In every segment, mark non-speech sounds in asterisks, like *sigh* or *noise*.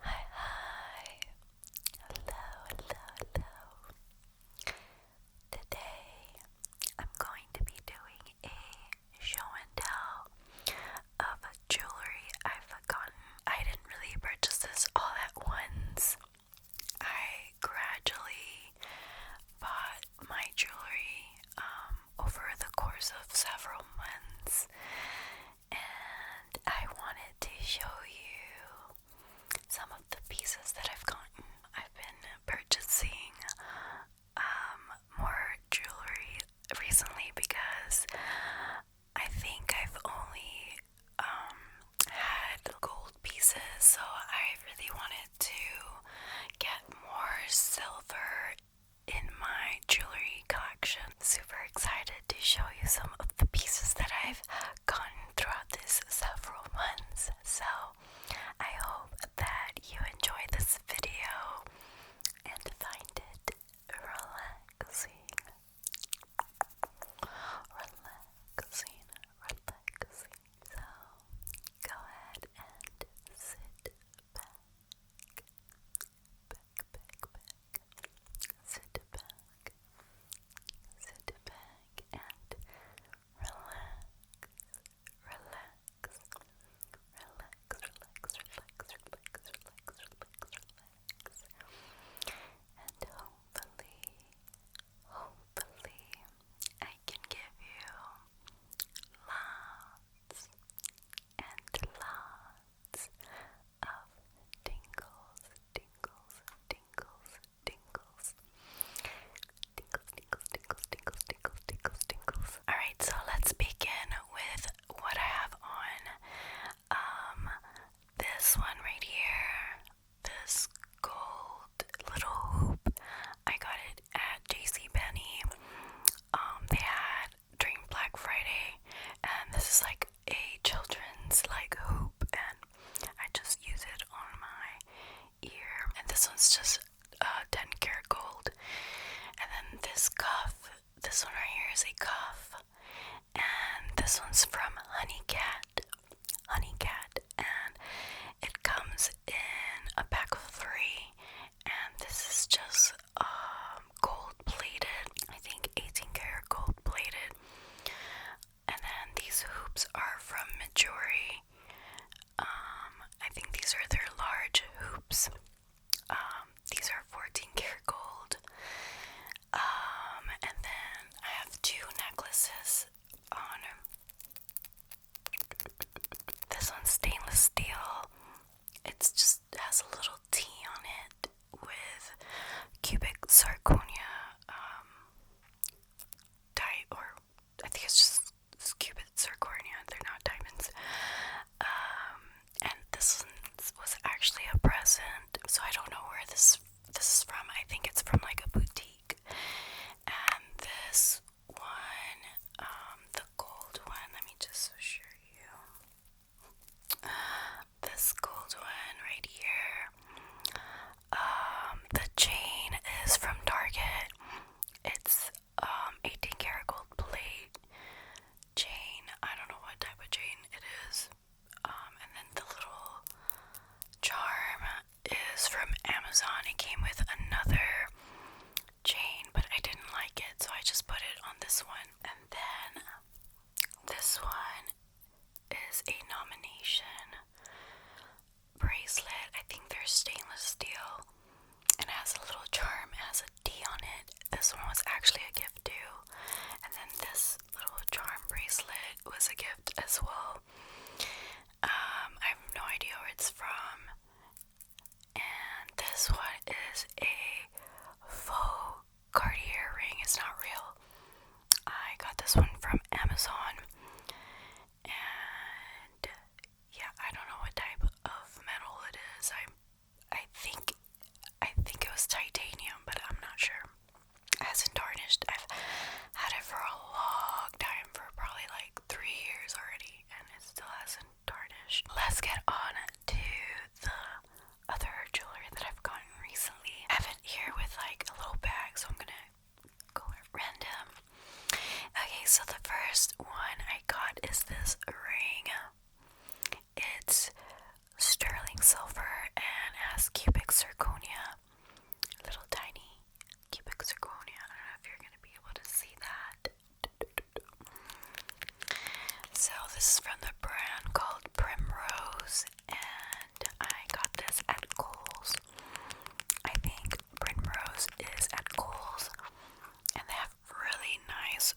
Hi, hi. Hello, hello, hello. Today I'm going to be doing a show and tell of jewelry I've gotten. I didn't really purchase this all at once. I gradually bought my jewelry um, over the course of several months, and I wanted to show you some of the pieces that I've gotten. I've been purchasing um, more jewelry recently because I think I've only um, had gold pieces, so I really wanted to get more silver in my jewelry collection. Super excited to show you some of the pieces that I've gotten throughout this several months. So I hope that you enjoy this video and find it relaxing. Relaxing, relaxing. So go ahead and sit back back, Sit back, sit back, and relax, relax, relax, relax, relax, relax, relax, relax, relax, and hopefully, hopefully, I can give you love and lots of tingles, tingles, tingles, tingles. Tingles, tingles, tingles, tingles, tingles, Alright, so let's begin with what I have on. Um this one right here. This gold little hoop. I got it at JC Penney um, they had during Black Friday, and this is like a children's like hoop, and I just use it on my ear. And this one's just a uh, 10 karat gold, and then this cuff, this one right here is a cuff, and this one's from Honey Cat, Honey Cat, and it comes in a pack of three, and this is just um, gold plated, I think 18 karat gold plated. And then these hoops are from Majori. Um, I think these are their large hoops. Um, these are 14 karat gold. and then I have two necklaces on. This one's stainless steel it's just has a little T on it with cubic zirconia um, or I think it's just cubic zirconia. They're not diamonds. Um, and this was actually a present, so I don't know where this this is from. I think it's from like a boutique. And this one, um, the gold one, let me just assure you. This gold one right here. Um, the chain is from Target. It's um 18 karat gold plate chain. I don't know what type of chain it is. Um, and then the little charm is from Amazon. It came with another chain, but I didn't like it, so I just put it on this one. And then this one is a nomination bracelet. I think they're stainless steel and has a little charm, it has a D on it. This one was actually a gift too. And then this little charm bracelet was a gift as well. Um, I have no idea where it's from. And this one is a faux Cartier ring. It's not real. I got this one from Amazon. And yeah, I don't know what type of metal it is. I I think I think it was titanium, but I'm not sure. It hasn't tarnished. I've had it for a long time, for probably like three years already, and it still hasn't tarnished. Let's get on to the other jewelry that I've gotten recently. I have it here with like a little bag, so I'm gonna go random. Okay, so the first one I got is this ring. It's sterling silver and has cubic zirconia. Little tiny cubic zirconia. I don't know if you're gonna be able to see that. So this is from the brand called Primrose and I got this at Kohl's. I think Primrose is at Kohl's and they have really nice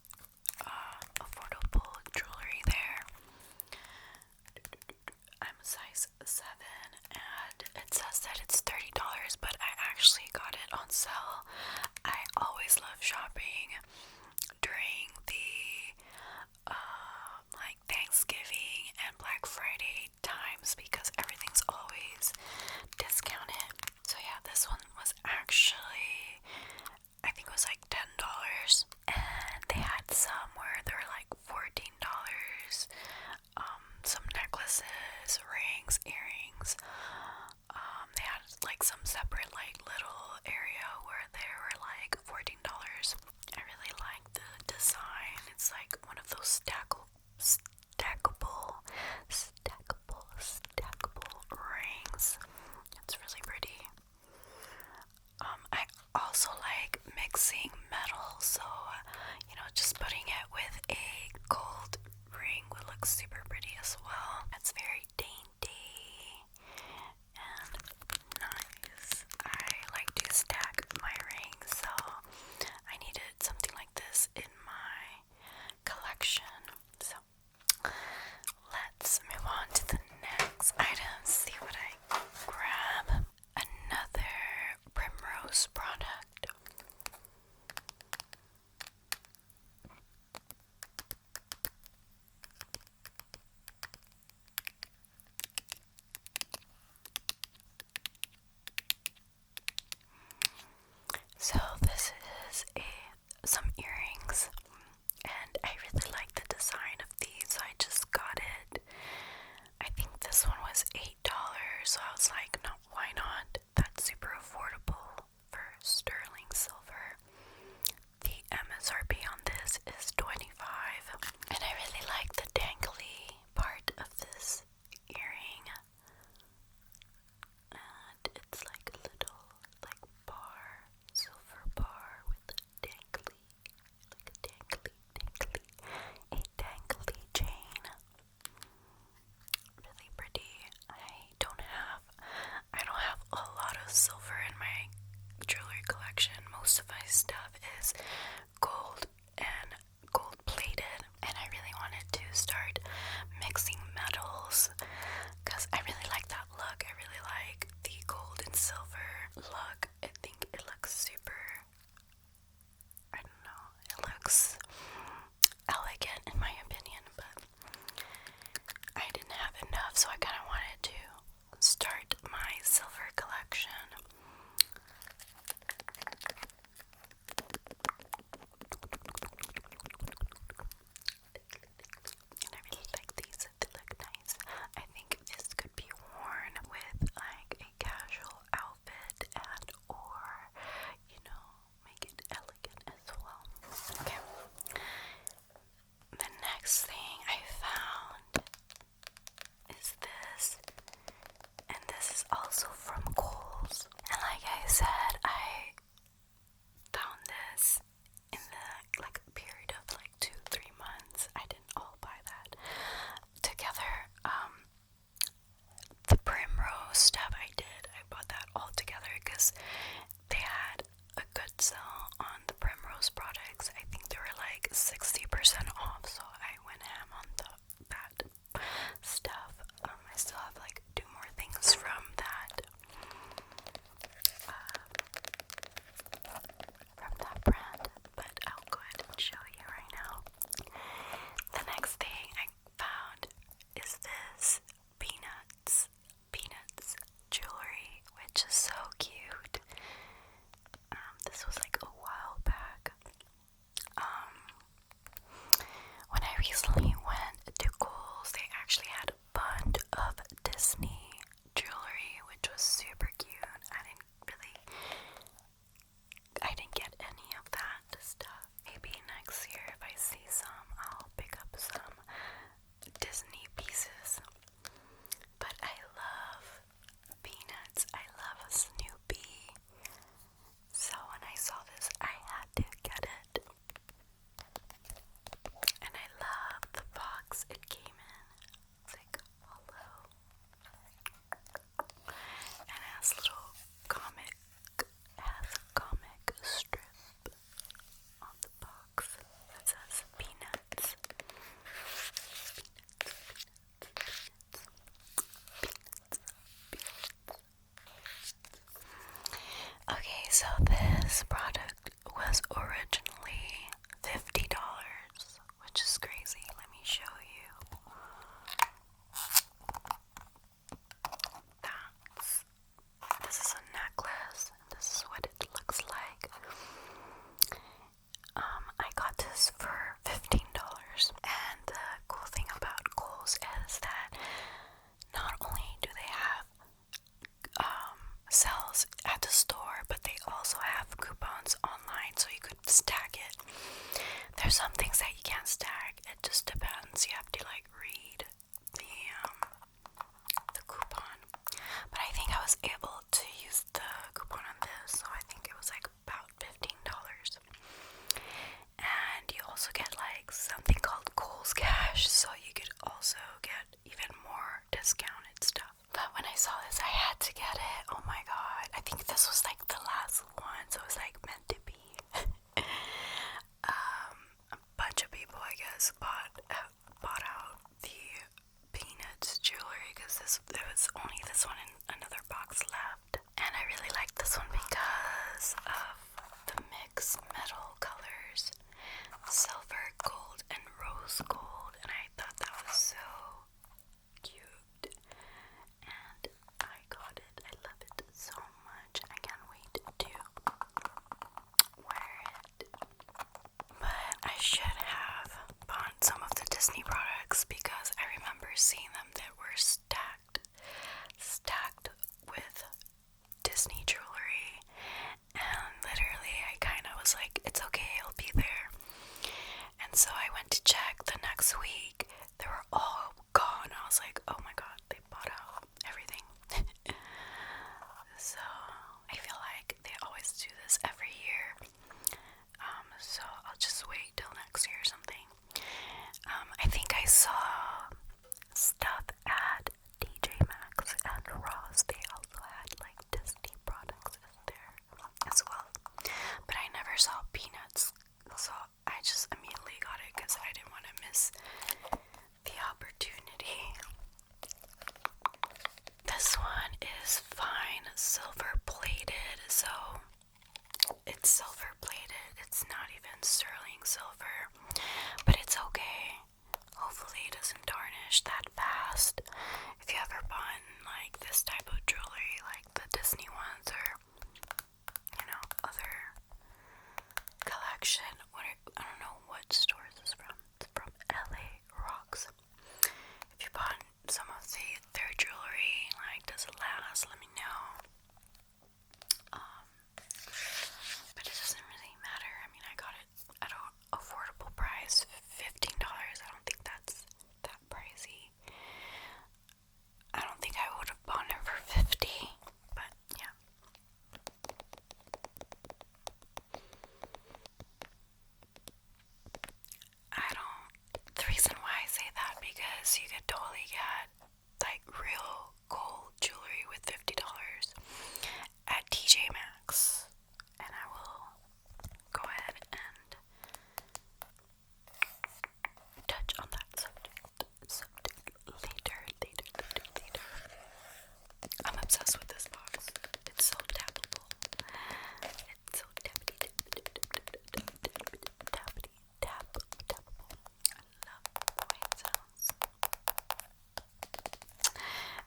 uh, affordable jewelry there. I'm a size 7 and it says that it's $30 but I actually got it on sale. I always love shopping during the uh, like Thanksgiving and Black Friday times because everything's always discounted. So yeah, this one was actually I think it was like ten dollars, and they had some where they are like fourteen dollars. Um, some necklaces, rings, earrings um, they had like some separate like little area where they were like $14. I really like the design. It's like one of those stackle, stackable, stackable, stackable rings. It's really pretty. Um, I also like mixing metals, so you know, just putting it with a gold ring would look super pretty as well. It's very dainty and nice. I like to stack my rings, so I needed something like this in my collection. So let's move on to the next item, see what I grab. Another Primrose product. So this is a some earrings and I really like the design of these. I just got it. I think this one was $8, so I was like, no, why not? That's super affordable for sterling silver. The MSRP on this is 25 and I really like the dangly part of this earring. And it's like a little like bar, silver bar with a dangly, like a dangly, dangly, a dangly chain really pretty. I don't have I don't have a lot of silver in my jewelry collection. Most of my stuff is gold and gold plated and I really wanted to start mixing metals because I really like that look. I really like the gold and silver look. I think it looks super I don't know, it looks elegant in my opinion, but I didn't have enough, so I kind of wanted to start my silver collection. And I really like these, they look nice. I think this could be worn with like a casual outfit and or you know make it elegant as well. Okay. The next thing I found is this, and this is also from Coles. And like I said, I found this in the like period of like two, three months. I didn't all buy that together. Um, the primrose stuff I did, I bought that all together because they had a good sale on the Primrose products. I think they were like 60% off, so I went ham on the, that stuff. Um, I still have like two more things from that. Uh, from that brand, but I'll go ahead and show you right now. The next thing I found is this Peanuts, Peanuts jewelry, which is so cute. Um, this was like a while back. Um, when I recently went to Kohl's, they actually had a bunch of Disney jewelry, which was super cute. I didn't really, I didn't get any of that stuff. Maybe next year, if I see some, I'll pick up some Disney pieces. But I love peanuts, I love Snoopy. So when I saw this, I had to get it. And I love the box it came in. It's like hollow. And it little comic, comic strip on the box that says peanuts. Okay, so this product was originally $50, which is crazy. Let me show you this is a necklace this is what it looks like. Um, I got this for $15 and the cool thing about Kohl's is that not only do they have um, sales at the store, but they also have coupons online so you could stack it. There's some things that you can't stack, it just depends. You have to like read the um, the coupon, but I think I was able to use the coupon on this, so I think it was like about fifteen dollars. And you also get like something called Kohl's Cash, so you could also get even more discounted stuff. But when I saw this, I had to get it. Oh my god! I think this was like the last one, so it was like meant to be. *laughs* um, a bunch of people, I guess, bought bought out the peanut jewelry because this there was only this one in another box left, and I really liked this one because of the mix metal colors, silver, gold, and rose gold, and I thought that was so cute, and I got it. I love it so much. I can't wait to but I should have bought some of the Disney products because I remember seeing them that were stacked, stacked with Disney jewelry, and literally I kind of was like, it's okay, it'll be there. And so I went to check the next week, they were all gone. I was like, oh my god, they bought everything. *laughs* so I feel like they always do this every year. Um, so I'll just wait till next year or something. Um, I think I saw stuff at DJ Max and Ross. They also had like Disney products there as well. But I never saw peanuts, so I just immediately got it because I didn't want to miss the opportunity. This one is fine silver plated, so it's silver plated. It's not even sterling silver, but it's okay. Hopefully, it doesn't tarnish that fast. If you ever bought like this type of jewelry, like the Disney ones, or you know, other collection. What I don't know what stores is from. It's from LA Rocks. If you bought some of the their jewelry, like does it last? Let me know. Um, but it doesn't really matter. I mean, I got it at an affordable price, fifteen dollars. I don't think that's that pricey. I don't think I would have bought it for fifty, but yeah. I don't. The reason why I say that because you could totally get like real gold jewelry with $50 at TJ Maxx. And I will go ahead and touch on that subject later, later, later, I'm obsessed with this box. It's so tappable. It's so tappity, tappity, tappity, tap, tappable. I love the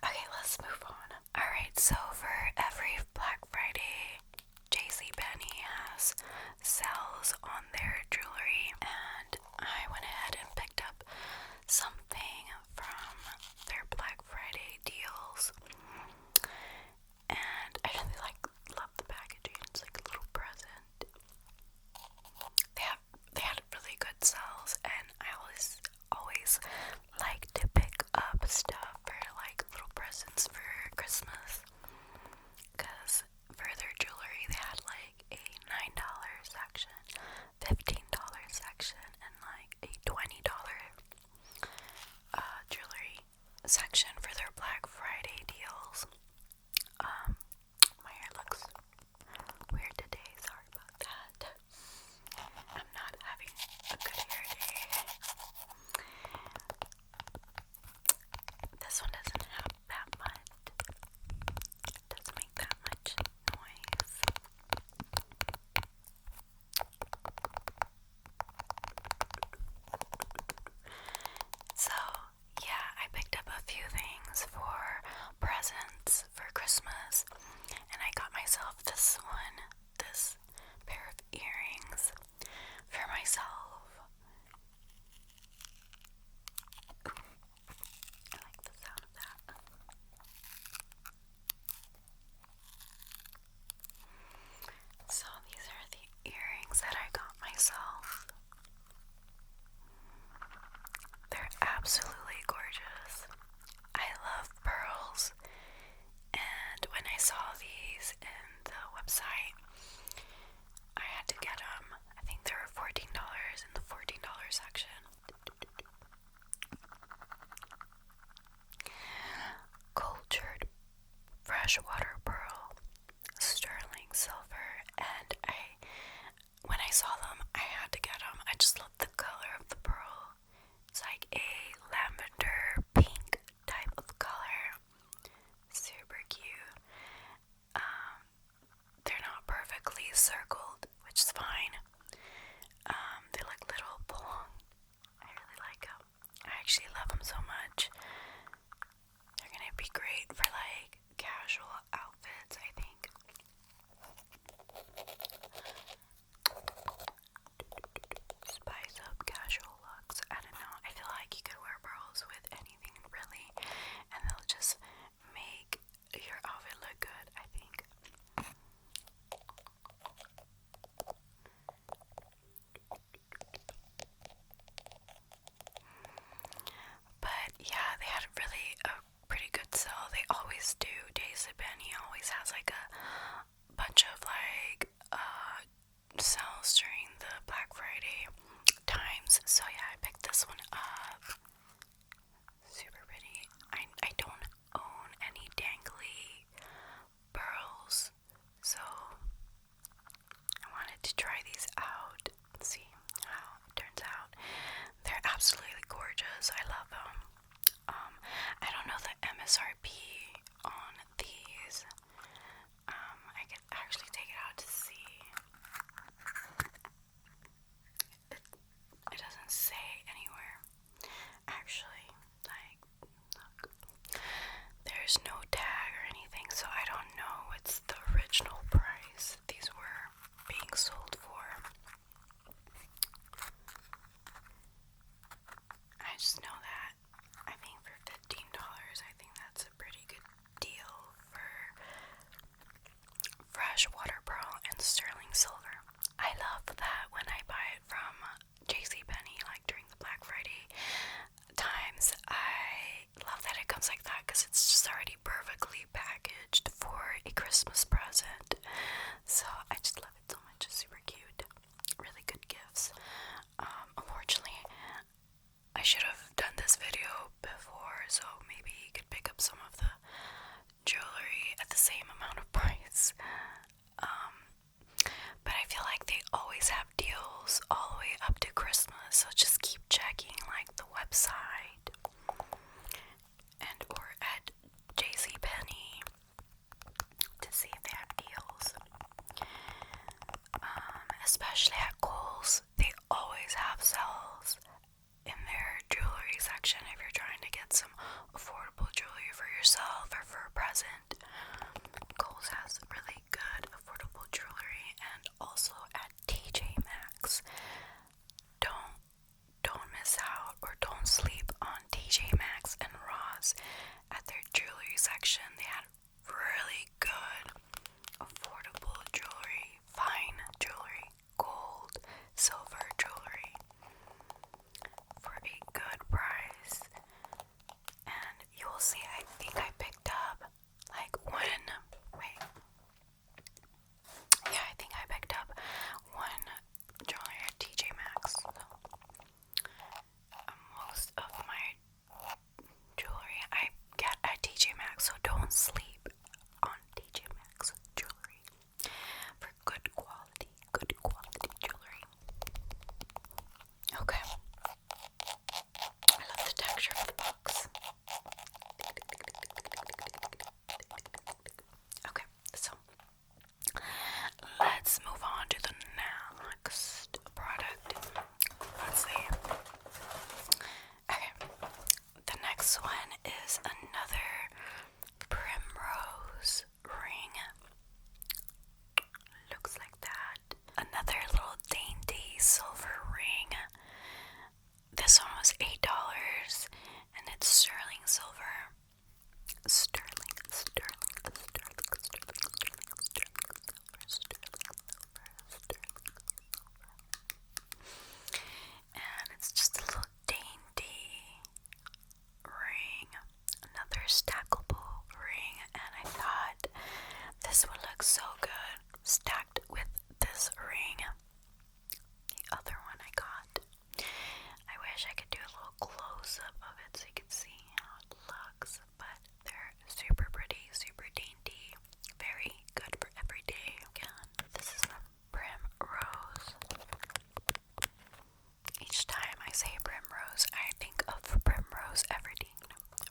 Okay, let's move on. Alright, so for every Black Friday, JCPenney has sales on their jewelry and I went ahead and picked up something from their Black Friday deals. And I really like love the packaging. It's like a little present. They have they had really good sales and I always always like to pick up stuff for like little presents for Christmas. Cause for their jewelry they had like a nine dollar section fifteen dollar section and like a twenty dollar uh, jewelry section for their Black Friday deals. Um, my hair looks weird today. Sorry about that. I'm not having a good hair day. This one doesn't have that much doesn't make that much noise. So, yeah, I picked up a few things for presents for Christmas, and I got myself this one, this pair of earrings for myself. I like the sound of that. So, these are the earrings that I got myself. They're absolutely gorgeous. I love pearls, and when I saw these in the website, I had to get them. I think they were $14 in the $14 section. Cultured freshwater pearl, sterling silver, and I, when I saw them, I had to get them. I just love the color of the pearl. It's like a lavender pink type of color. Super cute. Um, they're not perfectly circled, which is fine. Um, they look little long. I really like them. I actually love them so much. They're gonna be great for like casual outfits, I think. Spice up casual looks. I don't know. I feel like you could wear pearls with anything really, and they'll just make your outfit look good, I think. But yeah, they had really a pretty good sale. They always do. Daisy Ben, he always has like a bunch of like uh sales during the Black Friday times. So yeah, I picked this one up. Super pretty. I, I don't own any dangly pearls, so I wanted to try these out and see how it turns out. They're absolutely gorgeous. I love them. Um, I don't know the MSRP on these. Um, I can actually take it out to see it, doesn't say anywhere. Actually, like, there's no tag or anything, so I don't know what's the original price these were being sold for. I just know that I think for $15, I think that's a pretty good deal for fresh water pearl and sterling silver. I love that when I buy it from J C JCPenney, like during the Black Friday times. I love that it comes like that because it's just already perfectly packaged for a Christmas present. So I just love it so much. It's super cute. Really good gifts. Um, unfortunately, I should have done this video before, so maybe you could pick up some of the jewelry at the same amount of *laughs* price. Um, but I feel like they always have deals all the way up to Christmas, so just keep checking like the website and or at JCPenney to see if they have deals. Um, especially at Kohl's, they always have sales in their jewelry section if you're trying to get some affordable jewelry for yourself or for a present. Kohl's has really good affordable jewelry and also at TJ Maxx. Don't don't miss out or don't sleep on TJ Maxx and Ross at their jewelry section. They had really good affordable jewelry, fine jewelry gold, silver jewelry for a good price. And you will see, I think I picked up like one. Wait. Yeah, I think I picked up one jewelry at TJ Maxx. So, uh, most of my jewelry I get at TJ Maxx, so don't sleep on TJ Maxx jewelry for good quality, good quality jewelry. Okay. I love the texture of the box. Okay, so let's move on to the next product. Let's see. Okay, the next one is another primrose ring. Looks like that. Another little dainty silver ring. This one was $8 and it's sterling silver. Sterling, sterling, sterling, sterling, sterling, sterling, sterling, sterling, sterling, sterling, silver. And it's just a little dainty ring, another stackable ring, and I thought this would look so good stacked with this ring. The other one I got. I wish I could do a little close up of it so you could see how it looks, but they're super pretty, super dainty, very good for every day. Again, this is my Primrose. Each time I say Primrose, I think of Primrose Everdeen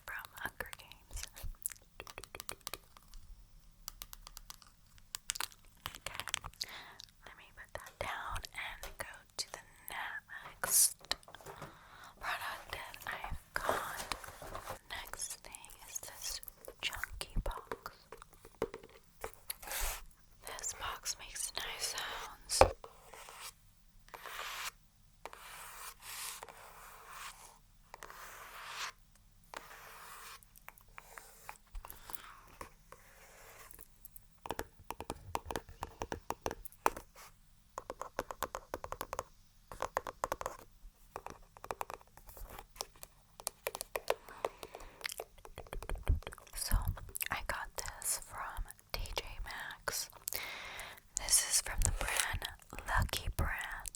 from Hunger Games. Okay, let me put that down and go to the next product that I've got. Next thing is this chunky box. This box makes nice sounds. So I got this from TJ Maxx. This is from the brand Lucky Brand.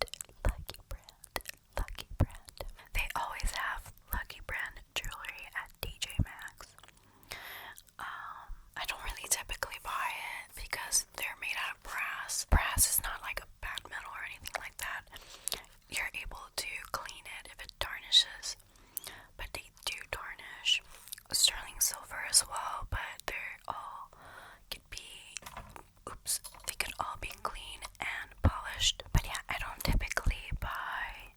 Lucky Brand. Lucky Brand. They always have Lucky Brand jewelry at DJ Max. Um, I don't really typically buy it because they're made out of brass. Brass is not like a bad metal or anything like that you're able to clean it if it tarnishes, but they do tarnish. Sterling silver as well, but they're all could be oops, they could all be clean and polished. But yeah, I don't typically buy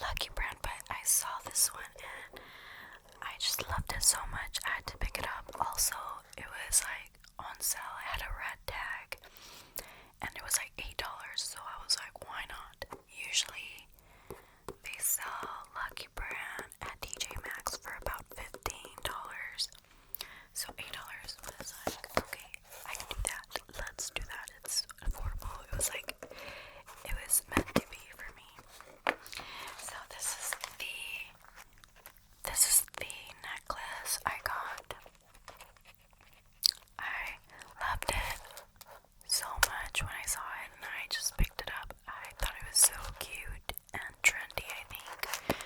Lucky Brand, but I saw this one and I just loved it so much I had to pick it up. Also, it was like on sale, I had a red tag and it was like eight dollars, so I was like, why not? Usually they sell Lucky Brand at DJ Maxx for about fifteen dollars. So eight dollars was like, okay, I can do that. Let's do that. It's affordable. It was like it was meant to be for me. So this is the this is the necklace I got I loved it so much when I saw it and I just picked it up. I thought it was so cute and trendy, I think.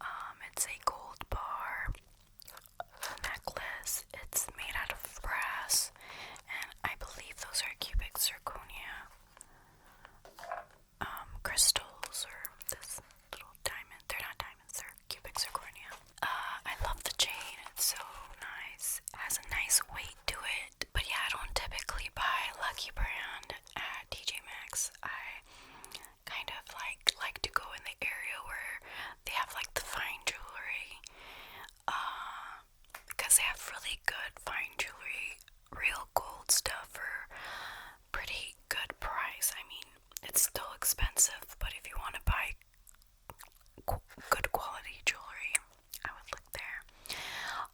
Um, it's a gold bar necklace. It's made out of brass and I believe those are cubic zirconia um, crystals or this little diamond. They're not diamonds, they cubic zirconia. Uh, I love the chain, it's so nice. has a nice weight to it. But yeah, I don't typically buy Lucky Brand at TJ Maxx. I kind of like like to go in the area where they have like the fine jewelry. Uh, because they have really good fine jewelry, real gold stuff for pretty good price. I mean, it's still expensive, but if you want to buy good quality jewelry, I would look there.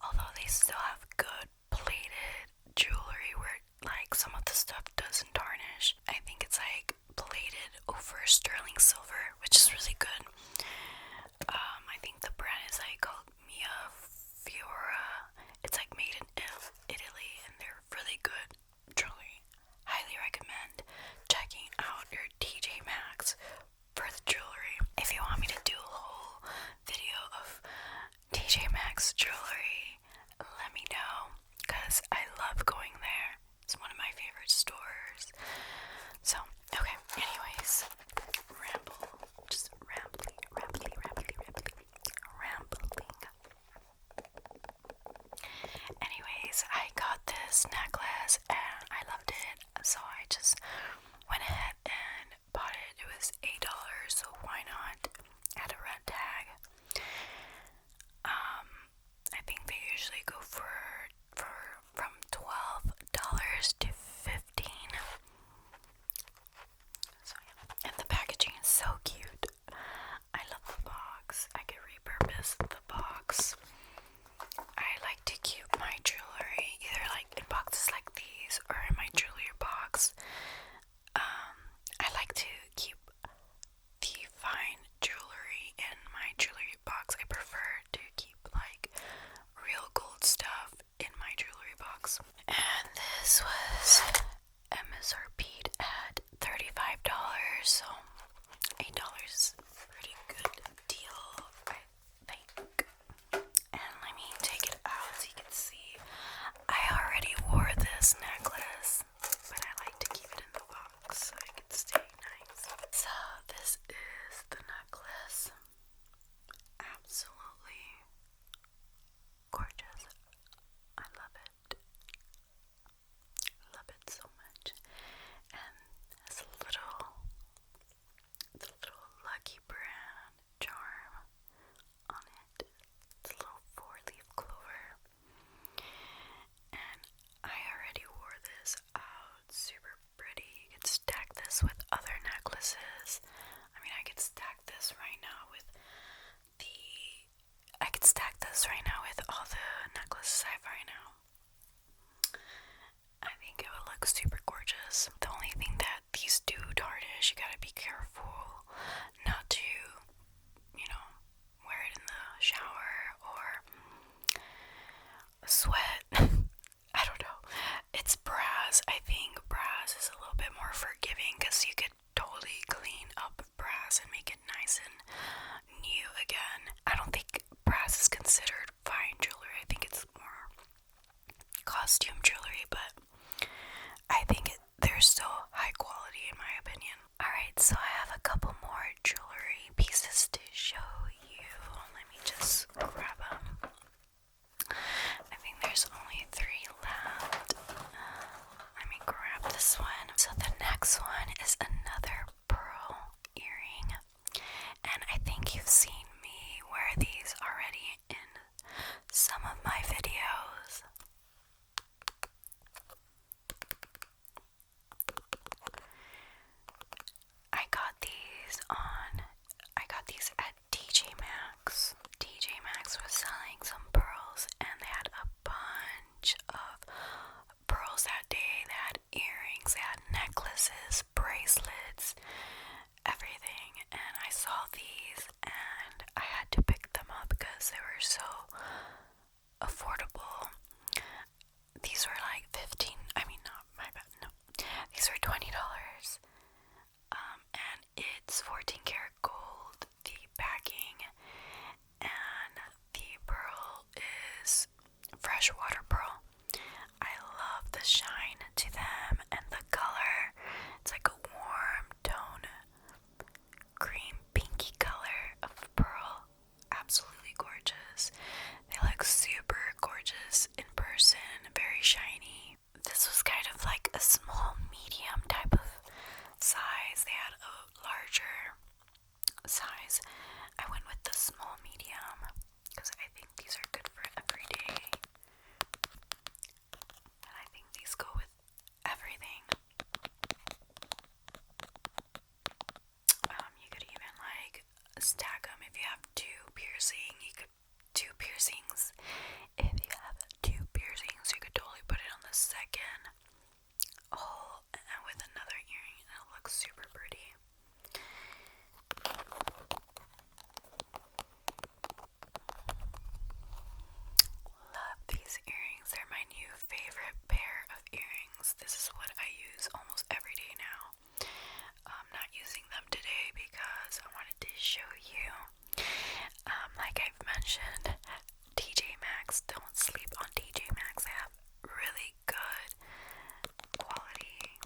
Although they still have good plated jewelry where like some of the stuff doesn't tarnish. I think it's like plated over sterling silver, which is really good. Um, I think the brand is like called Mia Fiora. It's like made in Italy and they're really good truly highly recommend checking out your TJ Maxx for the jewelry. If you want me to do a whole video of TJ Maxx jewelry, let me know because I love going there. It's one of my favorite stores. So, okay, anyways, ramble, just rambling, rambling, rambling, rambling, rambling. Anyways, I got this necklace and I loved it, so I just went ahead and bought it. It was $8, so why not? At a red tag. Um, I think they usually go for for from twelve dollars to fifteen. So yeah. And the packaging is so cute. I love the box. I could repurpose the box. I like to keep my jewelry either like in boxes like these or in my jewelry box. Um, I like to keep the fine jewelry in my jewelry box. I prefer to keep like real gold stuff in my jewelry box. And this was MSRP'd at $35, so Eight dollars is a pretty good deal, I think. And let me take it out so you can see. I already wore this necklace, but I like to keep it in the box so it can stay nice. So this is the necklace. Absolutely gorgeous. I love it. Love it so much. And this little, the little Lucky Brand charm on it. It's a little four-leaf clover. And I already wore this out. Super pretty. You could stack this with other necklaces. I mean, I could stack this right now with the I could stack this right now with all the necklaces I have right now. I think it would look super gorgeous. The only thing that these do tarnish. you gotta be careful not to, you know, wear it in the shower or sweat. *laughs* I don't know. It's brass. I think brass is a little bit more forgiving because you could totally clean up brass and make it nice and new again. I don't think brass is considered fine jewelry. I think it's more costume jewelry, but I think it, they're still high quality in my opinion. Alright, so I have a couple more jewelry pieces to show you. Let me just grab them. I think there's only three left. Uh, let me grab this one. So the next one is another pearl earring. And I think you've seen me wear these already in some of my videos. I got these on I got these at DJ Maxx. DJ Maxx was selling some pearls and they had a bunch of pearls that day. They had earrings, they had necklaces, bracelets, everything. And I saw these and I had to pick them up because they were so affordable. These were like 15, I mean, not my bad, no. These were $20. Um, and it's 14 karat gold, the backing, and the pearl is freshwater pearl. I love the shine to them and the color. It's like a warm tone, cream pinky color of pearl. Absolutely gorgeous. They look super gorgeous in person, very shiny. This was kind of like a small medium type of size. They had a larger size. I went with the small medium because I think these are good for every day. And I think these go with everything. Um, you could even like stack them if you have two piercing. You could two piercings. If you have two piercings, you could totally put it on the second Oh, all with another earring, and it looks super pretty. Love these earrings, they're my new favorite pair of earrings. This is what I use almost every day now. I'm not using them today because I wanted to show you. Um, like I've mentioned, TJ Maxx. Don't sleep on TJ Maxx. They have really good quality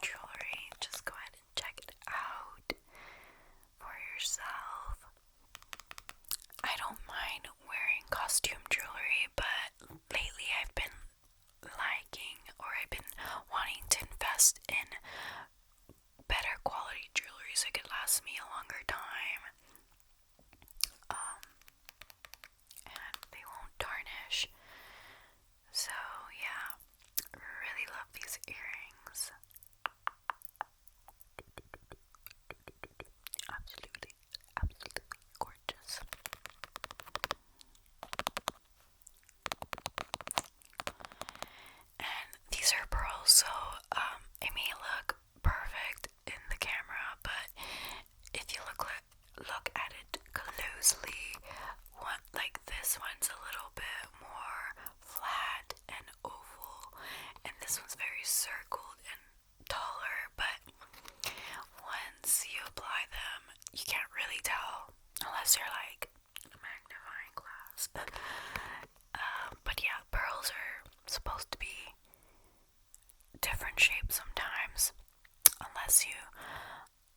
jewelry. Just go ahead and check it out for yourself. I don't mind wearing costume jewelry, but lately I've been liking or I've been wanting to invest in better quality jewelry so it could last me a longer time. Um, and they won't tarnish. So, yeah, really love these earrings. Absolutely, absolutely gorgeous. And these are pearls, so um, it may look perfect in the camera, but if you look look at it closely, one like this one's a little bit more flat and oval, and this one's very circled and taller. But once you apply them, you can't really tell unless you're like a magnifying glass. *laughs* Uh, but yeah, pearls are supposed to be different shapes sometimes, unless you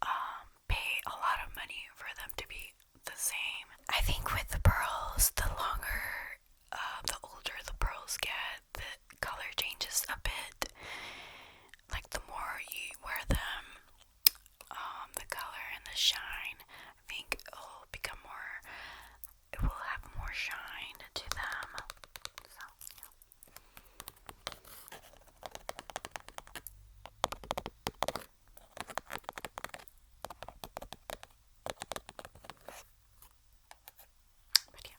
um, pay a lot of money for them to be the same. I think with the pearls, the longer, uh, the older the pearls get, the color changes a bit. Like the more you wear them, um, the color and the shine, I think, will become more it will have more shine to them. So, yeah.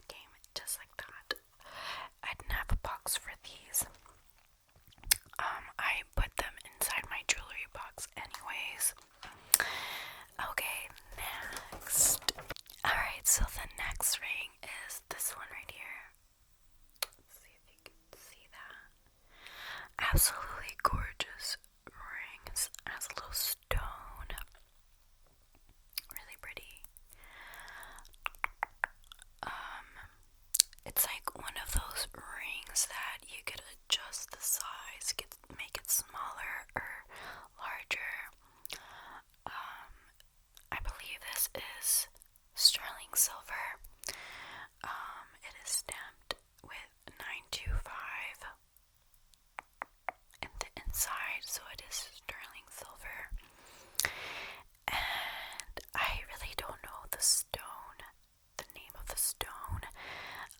But it just like that. I didn't have a box for these. Um, I put them inside my jewelry box anyways. Okay, next. Alright, so the next ring is this one right here. see if you can see that. Absolutely gorgeous rings. Has a little stone. Really pretty. Um it's like one of those rings that you could adjust the size, get make it smaller or larger. Um, I believe this is sterling silver. Um, it is stamped with 925 in the inside, so it is sterling silver. And I really don't know the stone, the name of the stone.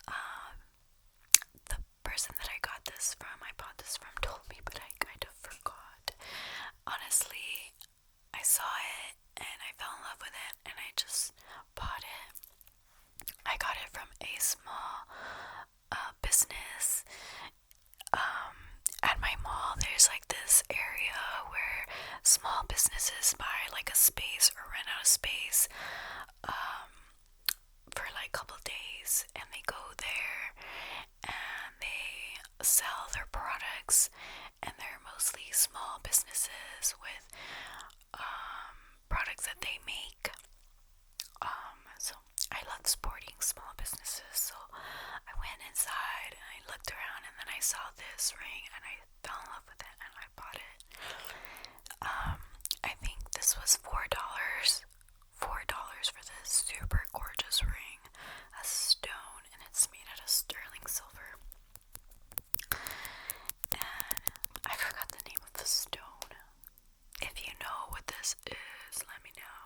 Um, person that I got this from, I bought this from, told me, but I kind of forgot. Honestly, I saw it and I fell in love with it and I just bought it. I got it from a small uh, business. Um, at my mall, there's like this area where small businesses buy like a space or rent out a space. Um, for like a couple days and they go there and they sell their products and they're mostly small businesses with um, products that they make um, so i love supporting small businesses so i went inside and i looked around and then i saw this ring and i fell in love with it and i bought it um, i think this was four dollars Four dollars for this super gorgeous ring, a stone, and it's made out of sterling silver. And I forgot the name of the stone. If you know what this is, let me know.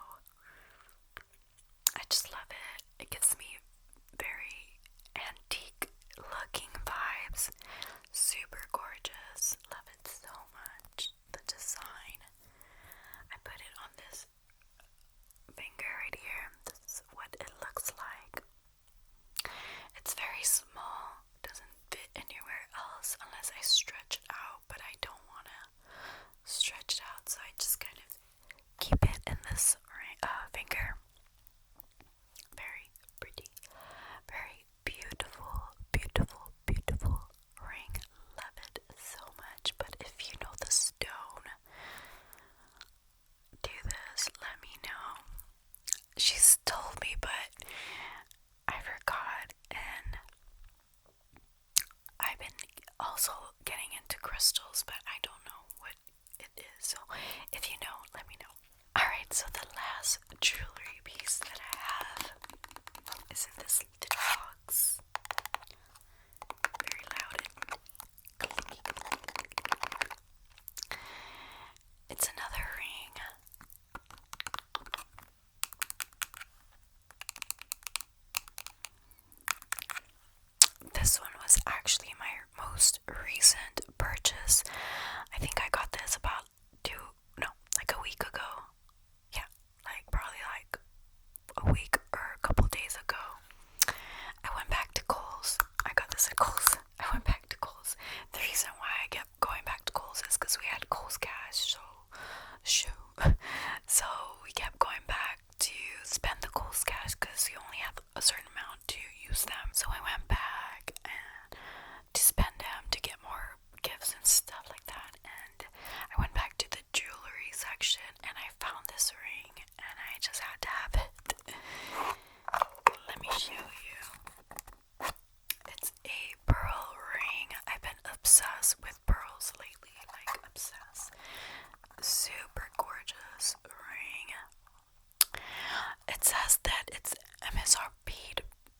I just love it. It gives me very antique looking vibes. Super gorgeous. Love it so much. The design. I put it on this finger right here. This is what it looks like. It's very small, doesn't fit anywhere else unless I stretch it out, but I don't want to stretch it out, so I just kind of keep it in this uh, finger. Very pretty, very Beautiful, beautiful, beautiful ring. Love it so much. But if you know the stone, do this. Let me know. She's told me, but I forgot. And I've been also getting into crystals, but I don't know what it is. So if you know, let me know. Alright, so the last jewelry piece that I have is this sleeped in Very loud It's another ring. This one was actually my most recent purchase. I think I got this about two, no, like a week ago now. Yeah, like probably like a week or a couple days ago. I went back to Kohl's. I got this at Kohl's. *laughs* I went back to Kohl's. The reason why I kept going back to Kohl's is because we had Kohl's cash, so *laughs* shoot. so we kept going back to spend the Kohl's cash because you only have a certain amount to use them. So I went back and to spend them to get more for gifts and stuff like that. And I went back to the jewelry section and I found this ring and I just had to have it. Let me show you. It's a pearl ring. I've been obsessed with pearls lately, like obsessed. Super gorgeous ring. It says that it's MSRP'd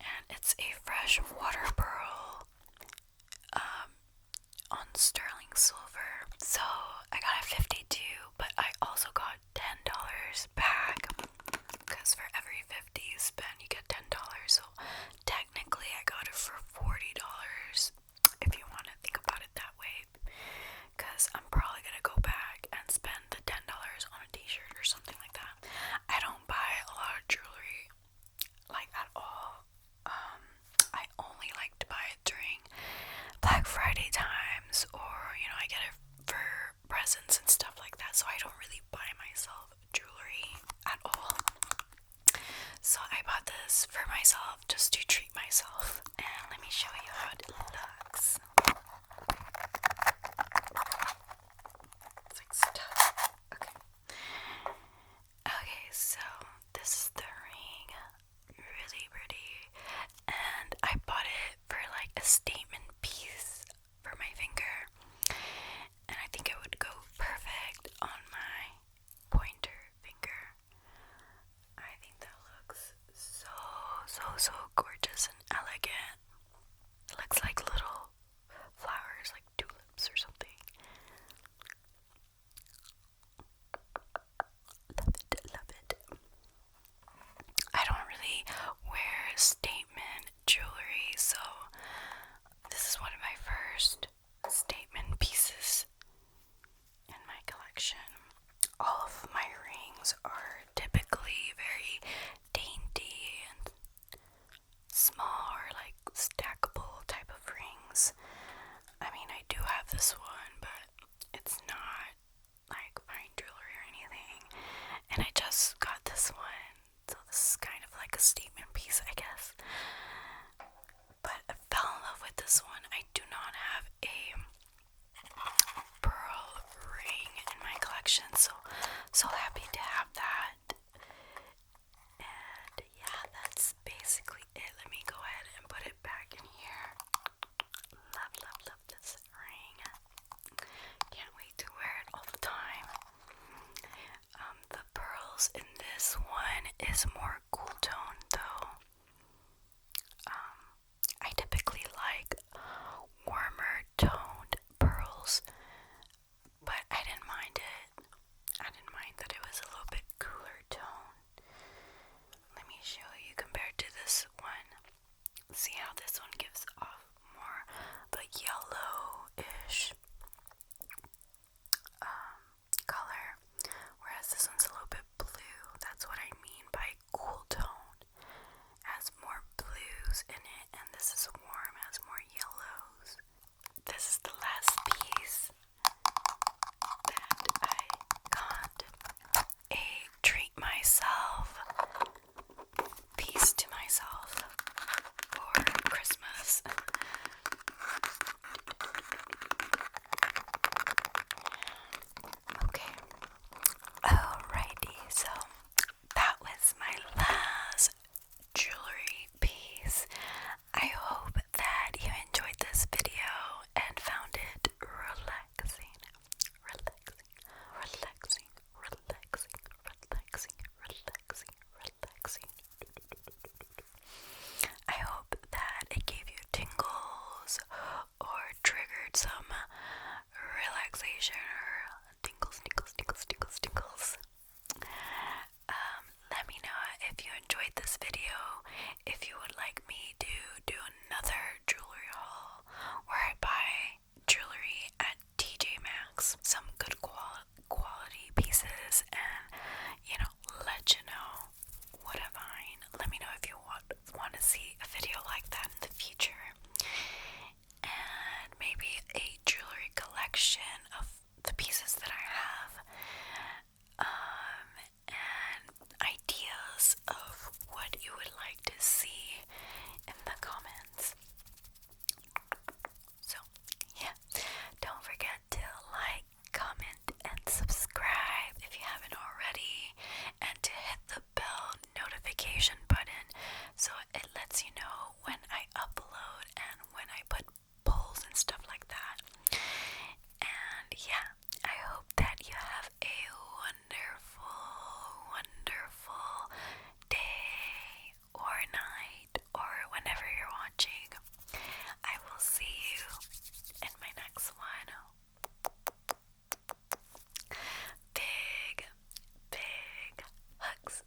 and it's a fresh water pearl um, on sterling silver. So I got a 52, but I also got $10 back because for every 50 you spend, you get $10. So technically, I got it for $40 if you want to think about it that way because I'm probably gonna go back and spend the $10 on a t shirt or something like that. I don't buy a lot of jewelry like at all. Um, I only like to buy it during Black Friday times, or you know, I get it for presents and stuff like that. So I don't really buy myself jewelry at all. So I bought this for myself just to treat myself, and let me show you how it looks. It's like stuff. Okay. Okay, so this is the ring. Really pretty. And I bought it for like a statement piece for my finger. And I think it would go perfect on my pointer finger. I think that looks so, so, so gorgeous and elegant. It looks like little flowers, like tulips or something. Love it, love it. I don't really wear statement jewelry, so this is one of my first statement pieces in my collection. All of my rings are typically very dainty and small or like stackable type of rings. I mean, I do have this one, but it's not like fine jewelry or anything. And I just got this one, so this is kind of like a statement piece, I guess. But I fell in love with this one. I do not have a pearl ring in my collection, so so happy to have that. And yeah, that's basically it. Let me go ahead and put it back in here. Love, love, love this ring. Can't wait to wear it all the time. Um, the pearls in this one is more cool tone though. Um, I typically like warmer toned pearls but I didn't mind it. I didn't mind that it was a little bit cooler tone. Let me show you compared to this one. See how this one gives off more of yellowish um, color, whereas this one's a little bit blue. That's what I mean by cool tone. Has more blues in it, and this is warm, has more yellows this is the last piece that I got. A treat myself piece to myself for Christmas. Okay. Alrighty, so that was my last jewelry piece. I hope that you enjoyed this video and found it relaxing, relaxing, relaxing, relaxing, relaxing, relaxing, relaxing. I hope that it gave you tingles or triggered some relaxation or tingles, tingles, tingles, tingles, tingles. Um, let me know if you enjoyed this video, if you would like me to do another jewelry haul where I buy jewelry at TJ Maxx, some good qual quality pieces, and you know, let you know what I find. Let me know if you want want to see a video like that in the future, and maybe a jewelry collection of the pieces that I have um, and ideas of what you would like to see in the comments. So, yeah, don't forget to like, comment, and subscribe if you haven't already, and to hit the bell notification button so it lets you know when I upload and when I put polls and stuff like that. And yeah, I hope that you have a wonderful, wonderful day or night or whenever you're watching. I will see you in my next one. Big, big hugs